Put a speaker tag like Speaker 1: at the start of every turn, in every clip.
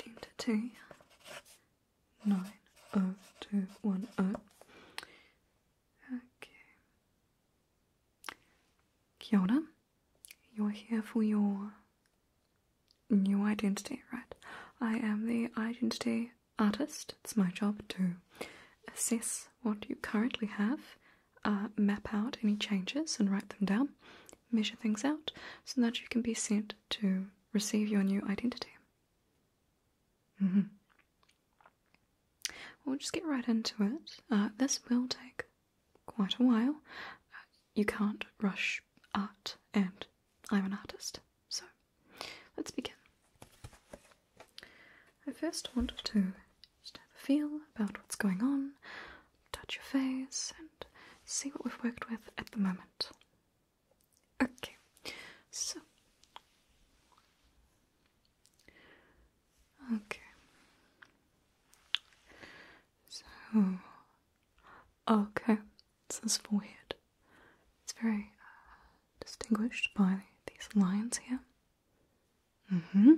Speaker 1: identity 90210. Okay. Kia You're here for your new identity, right? I am the identity artist. It's my job to assess what you currently have, uh, map out any changes and write them down, measure things out so that you can be sent to receive your new identity. Mm We'll just get right into it. Uh, this will take quite a while. Uh, you can't rush art, and I'm an artist, so let's begin. I first wanted to just have a feel about what's going on, touch your face and see what we've worked with at the moment. Okay, so. Okay. So. Okay, it's this forehead. It's very uh, distinguished by these lines here. Mm hmm.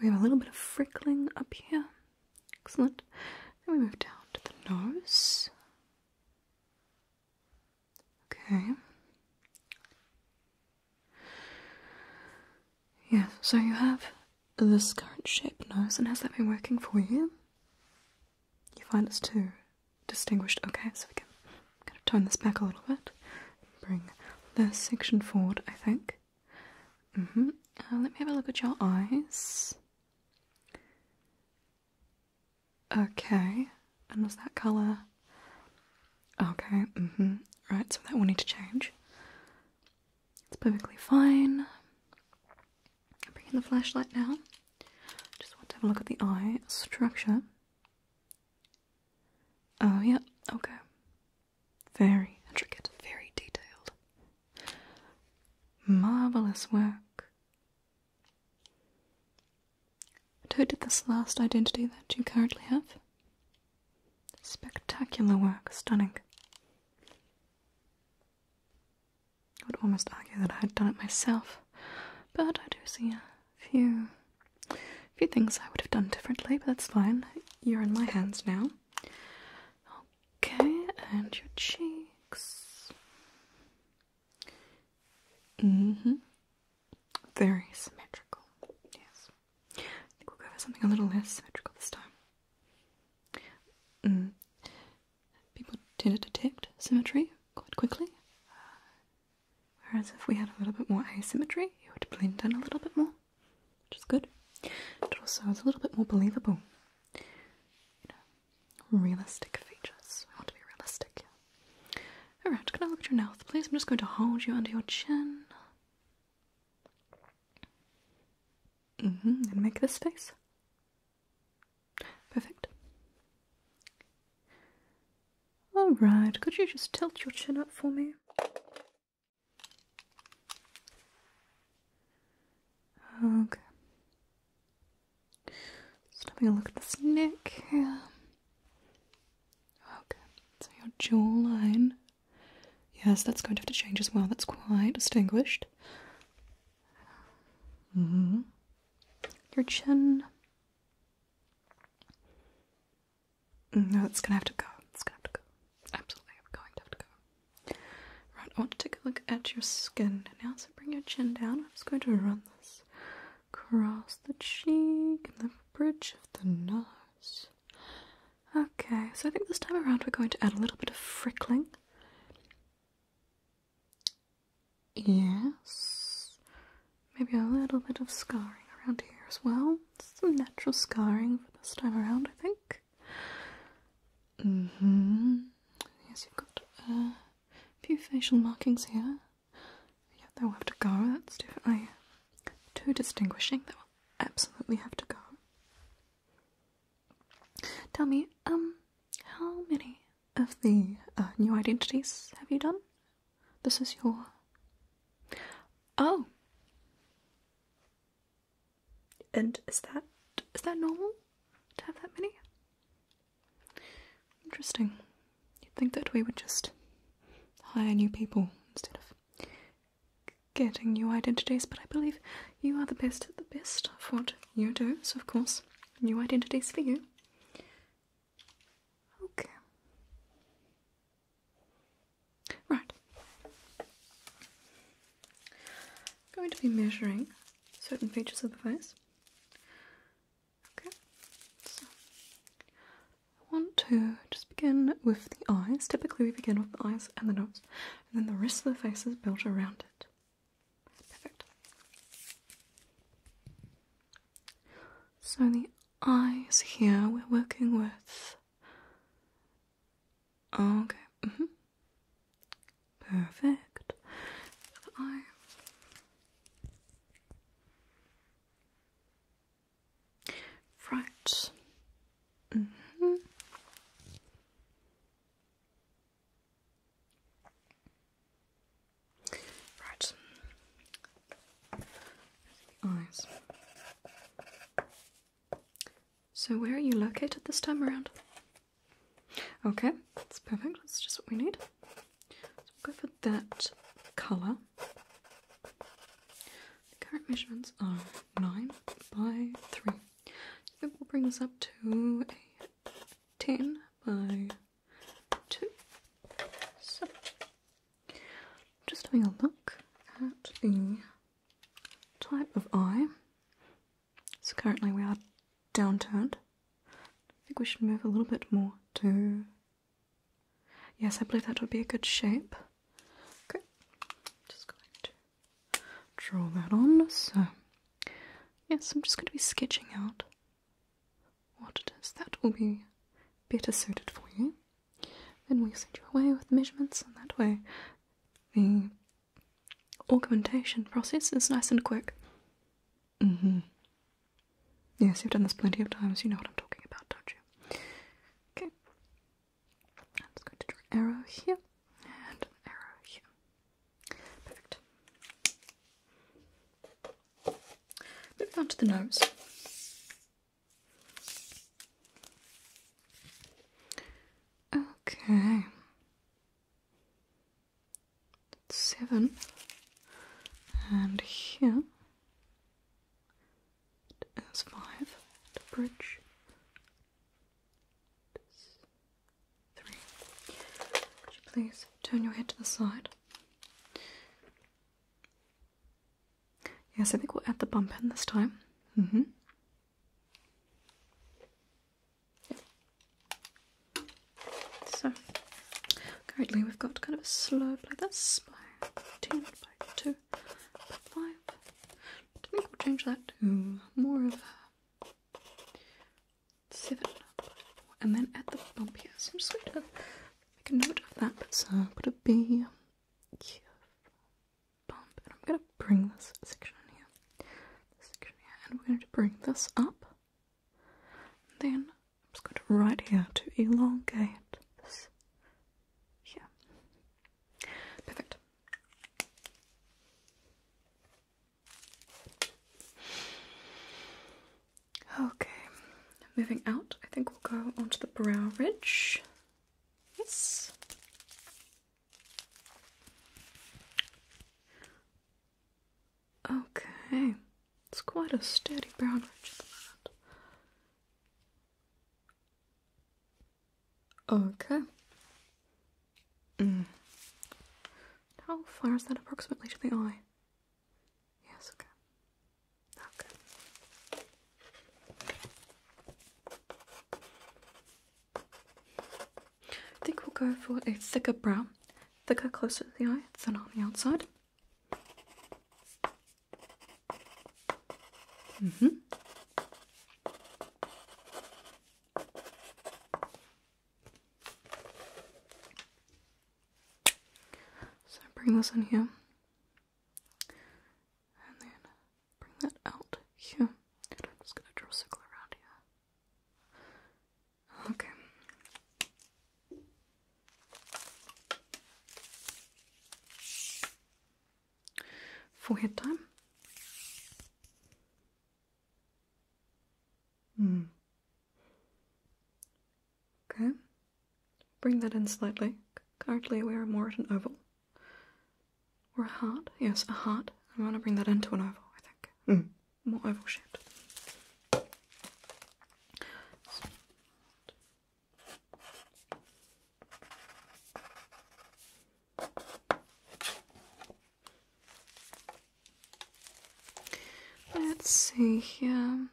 Speaker 1: We have a little bit of frickling up here. Excellent. Then we move down to the nose. Okay. Yeah, so you have this current shape nose, and has that been working for you? You find it's too distinguished. Okay, so we can kind of tone this back a little bit. Bring this section forward, I think. Mm-hmm. Uh, let me have a look at your eyes. Okay. And was that colour? Okay. Mm-hmm. Right, so that will need to change. It's perfectly fine. Bring in the flashlight now. Just want to have a look at the eye structure. Oh, yeah. Okay. Very intricate, very detailed. Marvelous work. And who did this last identity that you currently have? Spectacular work, stunning. I would almost argue that I had done it myself, but I do see a few, few things I would have done differently, but that's fine. You're in my hands now. Okay, and your cheeks. Mm-hmm. Very symmetrical. Yes. I think we'll go for something a little less symmetrical this time. Mm. People tend to detect symmetry quite quickly. Uh, whereas if we had a little bit more asymmetry, it would blend in a little bit more which is good. It also it's a little bit more believable. You know, realistic features. I want to be realistic. Alright, can I look at your mouth, please? I'm just going to hold you under your chin. hmm, and make this face. Perfect. Alright, could you just tilt your chin up for me? Okay. Just having a look at this neck Okay, so your jawline. Yes, that's going to have to change as well. That's quite distinguished. -hmm. Your chin. No, it's gonna have to go. It's gonna to go. Absolutely, I'm going to have to go. Right, I want to take a look at your skin now. So bring your chin down. I'm just going to run this across the cheek and the bridge of the nose. Okay, so I think this time around we're going to add a little bit of frickling. Yes. Maybe a little bit of scarring around here as well. Some natural scarring for this time around, I think. Mm-hmm. Yes, you've got uh, a few facial markings here. Yeah, they'll have to go. That's definitely oh, too distinguishing. They'll absolutely have to go. Tell me, um, how many of the uh, new identities have you done? This is your. Oh! And is that is that normal to have that many? Interesting. You'd think that we would just hire new people instead of getting new identities, but I believe you are the best at the best of what you do, so of course, new identities for you. Okay. Right. I'm going to be measuring certain features of the face. Okay. I want to just begin with the eyes. Typically we begin with the eyes and the nose, and then the rest of the face is built around it. Perfect. So the eyes here we're working with Okay. Mm -hmm. Perfect. Right. Mm -hmm. Right. Eyes. So, where are you located this time around? Okay, that's perfect. That's just what we need. So, we'll go for that colour. The current measurements are 9 by 3. So we'll bring this up to a 10 by 2. just having a look at the type of eye. So currently we are downturned. I think we should move a little bit more to. Yes, I believe that would be a good shape. Okay, just going to draw that on. So, yes, I'm just going to be sketching out what it is that will be better suited for you. Then we send you away with measurements, and that way the augmentation process is nice and quick. Mm-hmm. Yes, you've done this plenty of times, you know what I'm talking about, don't you? Okay. I'm just going to draw an arrow here and an arrow here. Perfect. Move on to the nose. Okay. That's seven. And here it is five. The bridge. Three. Could you please turn your head to the side? Yes, I think we'll add the bump in this time. Mm-hmm. So, currently we've got kind of a slope like this by 10, by 2, by 5. I think we'll change that to more of a 7, and then add the bump here. So I'm just going to make a note of that. So, put a B. Yeah and I'm gonna bring this section here, this section here, and we're going to bring this up. And then I'm just going to right here to elongate this here. Perfect. Okay, moving out, I think we'll go onto the brow ridge. Yes. Okay. It's quite a steady brown ridge at the Okay. Mm. How far is that approximately to the eye? Yes, okay. I think we'll go for a thicker brow, thicker closer to the eye, thin on the outside. Mm-hmm. So bring this in here and then bring that out here. And I'm just gonna draw a circle around here. Okay. Forehead time. Hmm. Okay. Bring that in slightly. Currently we are more at an oval. Or a heart? Yes, a heart. I want to bring that into an oval, I think. Hmm. More oval shaped. Let's see here.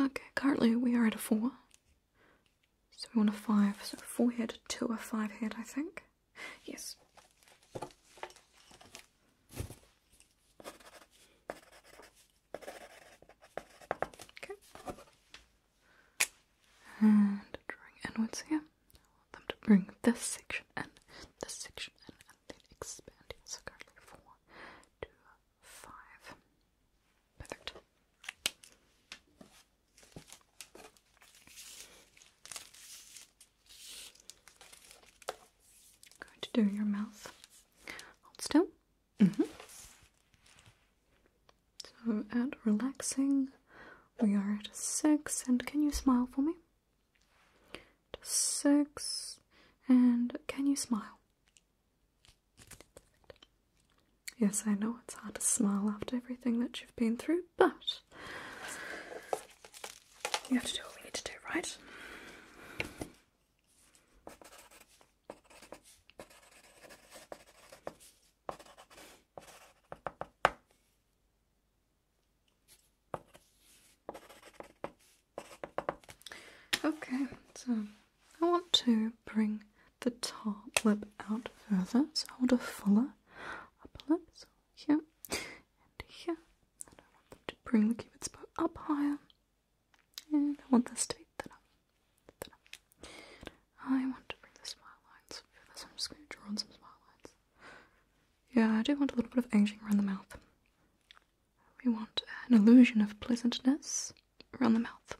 Speaker 1: Okay, currently we are at a four. So we want a five. So four head, two a five head, I think. Yes. Okay. And drawing inwards here. I want them to bring this section in, this section and then expand here. So currently four, two, five. Perfect. Going to do your mouth. Hold still. Mm-hmm. So at relaxing, we are at six. And can you smile for me? six. And can you smile? Yes, I know it's hard to smile after everything that you've been through, but you have to do what we need to do, right? Okay, so I want to bring the top lip out further, so I want a fuller upper lip, so here and here. And I want them to bring the cupid's bow up higher, and I want this to be thinner. thinner. I want to bring the smile lines further, so just draw on some smile lines. Yeah, I do want a little bit of aging around the mouth. We want an illusion of pleasantness around the mouth.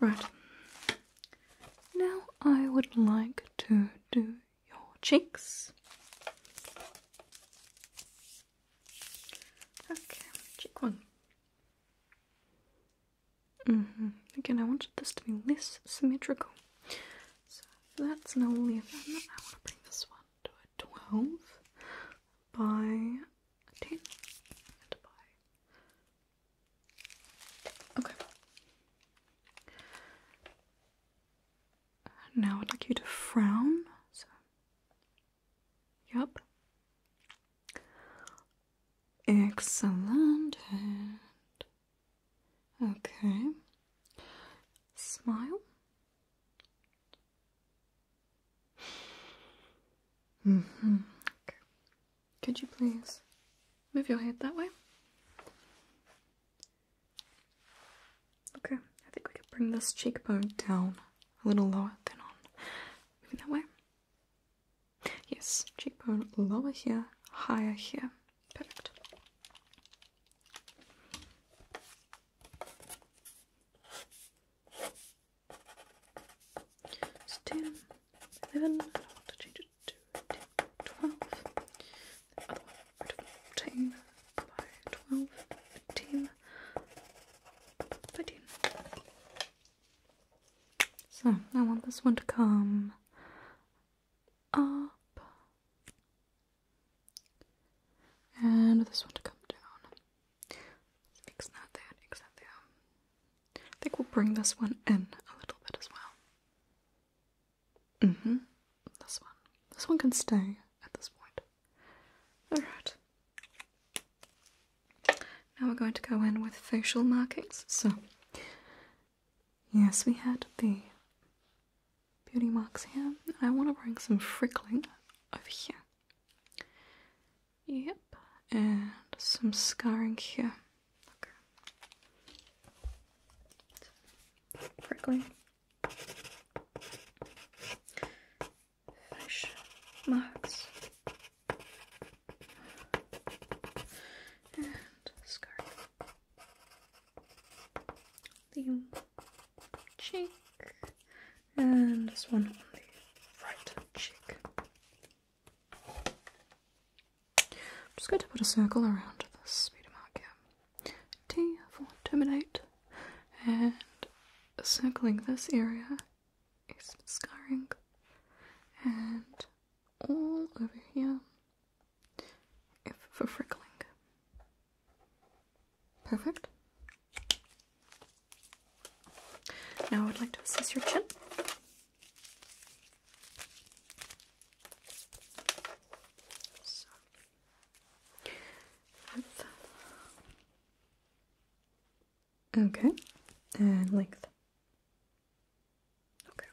Speaker 1: Right. Now I would like to do your cheeks. Okay, cheek one. Mm-hmm. Again, I wanted this to be less symmetrical. So that's an 11. I want to bring this one to a 12 by 10 and by. Okay. Now I'd like you to frown. So, yup. Excellent. okay. Smile. Mm-hmm. Could you please move your head that way? Okay, I think we could bring this cheekbone down a little lower than on. Moving that way. Yes, cheekbone lower here, higher here. Perfect. It's I want to change it to 12. The so I want this one to come up and this one to come down. let that there, except there. I think we'll bring this one in a little bit as well. Mm-hmm. This one. This one can stay at this point. Alright. Now we're going to go in with facial markings. So, yes, we had the beauty marks here. I want to bring some frickling over here. Yep, and some scarring here. Okay. Prickling. marks and scarf the cheek and this one on the right cheek. just going to put a circle around this speeder mark here. T for terminate and circling this area is scarring and all over here if for freckling. Perfect. Now I would like to assess your chin. So, Okay, and length. Okay.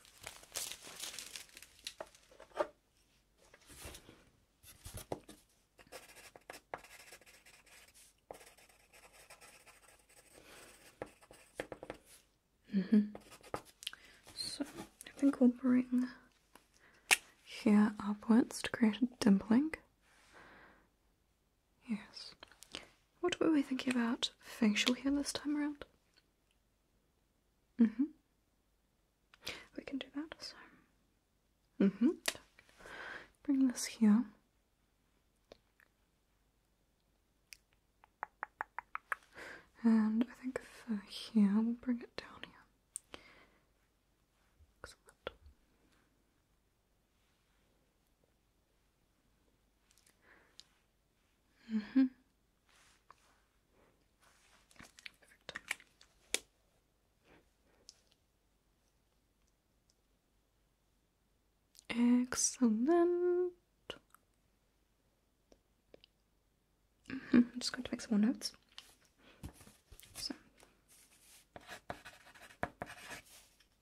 Speaker 1: Mm-hmm. So I think we'll bring here upwards to create a dimpling. Yes. What were we thinking about facial here this time around? Mm-hmm. We can do that, so. Mm-hmm. Bring this here. And I think here, we'll bring it down here. Mm hmm Excellent. Mm -hmm. I'm just going to make some more notes.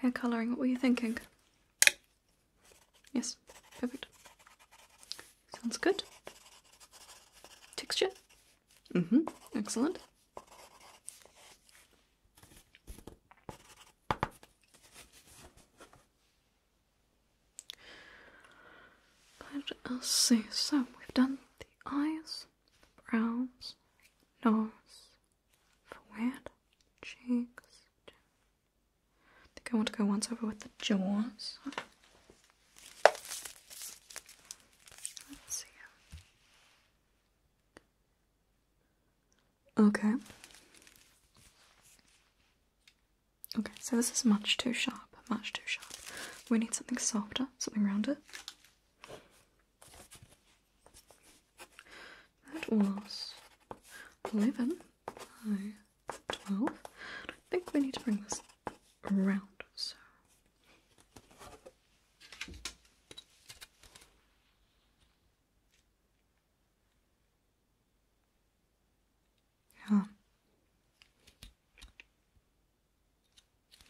Speaker 1: Hair colouring, what were you thinking? Yes, perfect. Sounds good. Texture? Mm-hmm, excellent. Let us see. So we've done the eyes, the brows, nose, forehead, cheeks. I think I want to go once over with the jaws. Let's see. Okay. Okay, so this is much too sharp, much too sharp. We need something softer, something rounder. That was 11 12. I think we need to bring this around. So.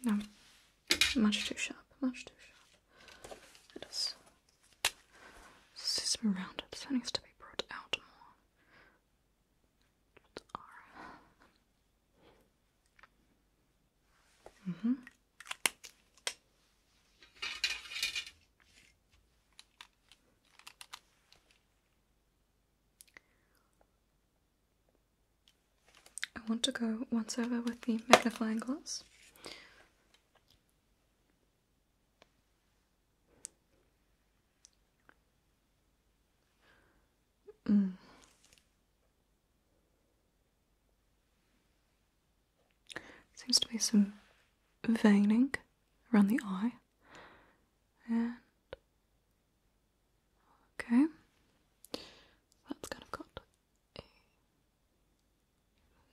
Speaker 1: No. Much too sharp. Much too sharp. It is. Sesame roundups. That needs to be brought out more. It's mm-hmm. R. I want to go once over with the magnifying glass. Mm. Seems to be some veining around the eye. And okay. That's kind of got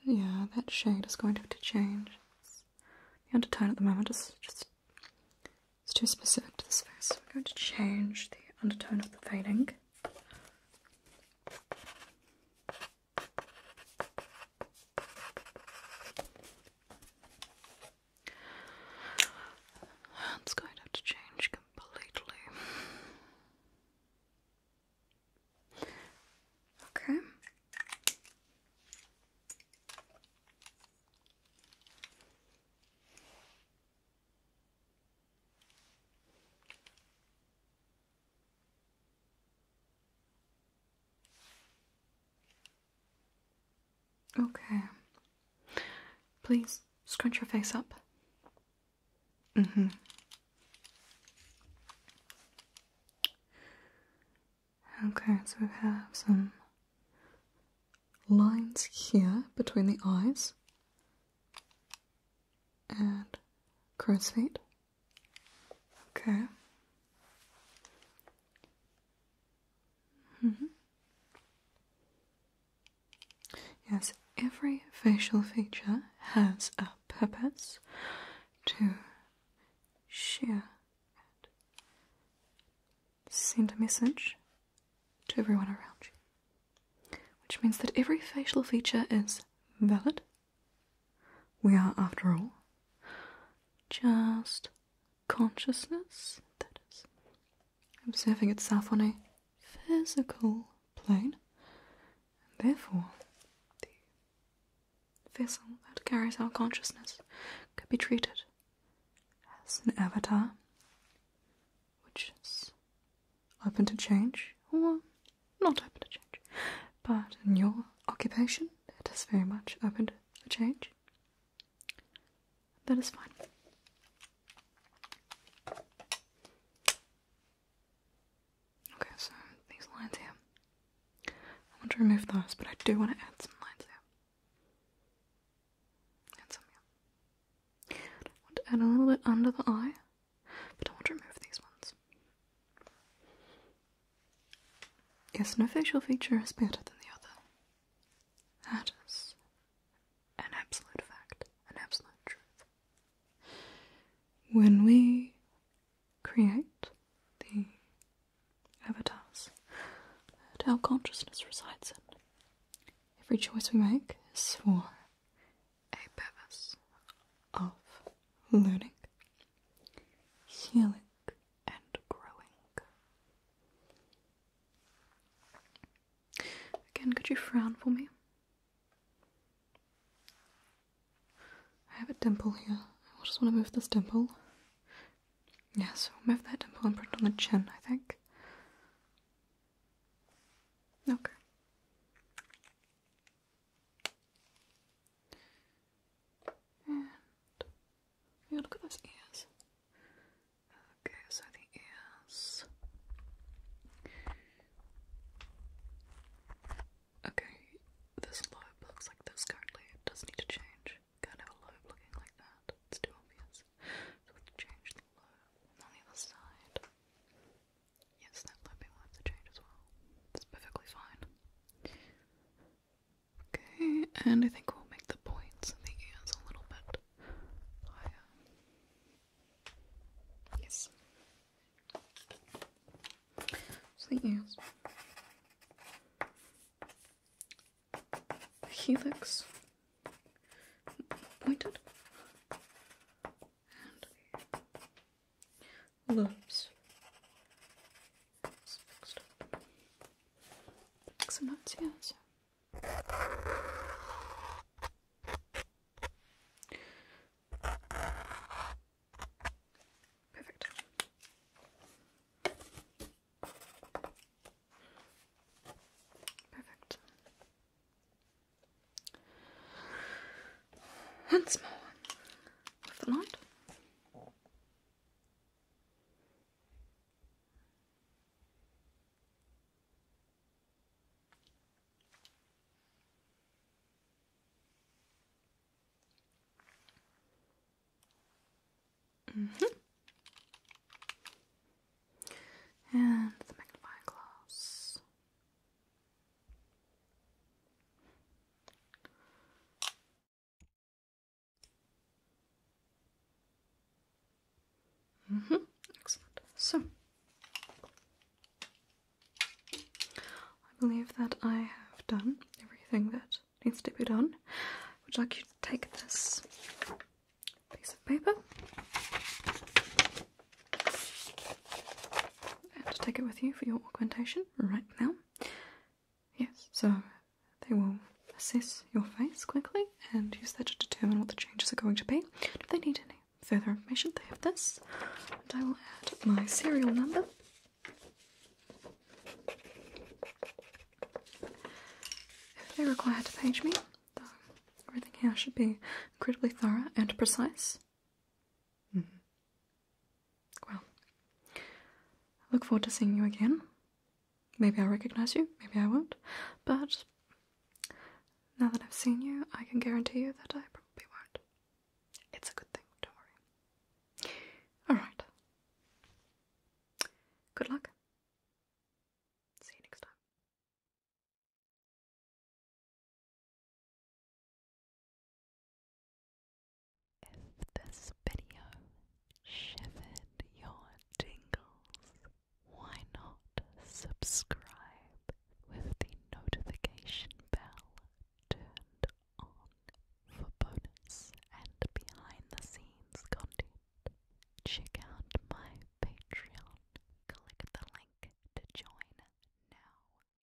Speaker 1: Yeah, that shade is going to have to change. the undertone at the moment is just it's too specific to this face. So we're going to change the undertone of the fading. That's going to change completely. Okay. Okay. Please scrunch your face up. Mm hmm. Okay, so we have some lines here between the eyes and crow's feet. Okay. Mm -hmm. Yes, every facial feature has a purpose to share and send a message to everyone around you, which means that every facial feature is valid we are, after all, just consciousness that is observing itself on a physical plane, and therefore, the vessel that carries our consciousness could be treated as an avatar which is open to change not open to change. But in your occupation, it is very much open to change. That is fine. Okay, so these lines here. I want to remove those, but I do want to add some lines here. And some here. I want to add a little bit under the eye, but I want to remove these ones. Yes, no facial feature is better than the other. That is an absolute fact, an absolute truth. When we create the avatars our consciousness resides in, every choice we make is for a purpose of learning healing and growing. Again, could you frown for me? I have a dimple here. I just want to move this dimple. Yeah, so move that dimple and print on the chin, I think. Okay. Yeah, look at those ears. Okay, so the ears. Okay, this lobe looks like this currently. It does need to change. Can't a lobe looking like that. It's too obvious. So we can change the lobe on the other side. Yes, that clipping will have to change as well. That's perfectly fine. Okay, and I think we'll make the points the ears a little bit higher. Yes. So the ears. Helix. Pointed lobes. It's up. Make Perfect. Perfect once more with the light. Mm-hmm. And the magnifying glass. Mm -hmm. Excellent. So, I believe that I have done everything that needs to be done. Would like you to take this piece of paper to take it with you for your augmentation right now. Yes, so they will assess your face quickly and use that to determine what the changes are going to be. If they need any further information, they have this, and I will add my serial number. If they require to page me, though everything here should be incredibly thorough and precise. Mm-hmm. Well, I look forward to seeing you again. Maybe I'll recognize you, maybe I won't, but now that I've seen you, I can guarantee you that I probably won't. It's a good thing, don't worry. Alright. Good luck. See you next time. If this video shivered your tingles, why not subscribe with the notification bell turned on for bonus and behind the scenes content? Check out my Patreon. Click the link to join now.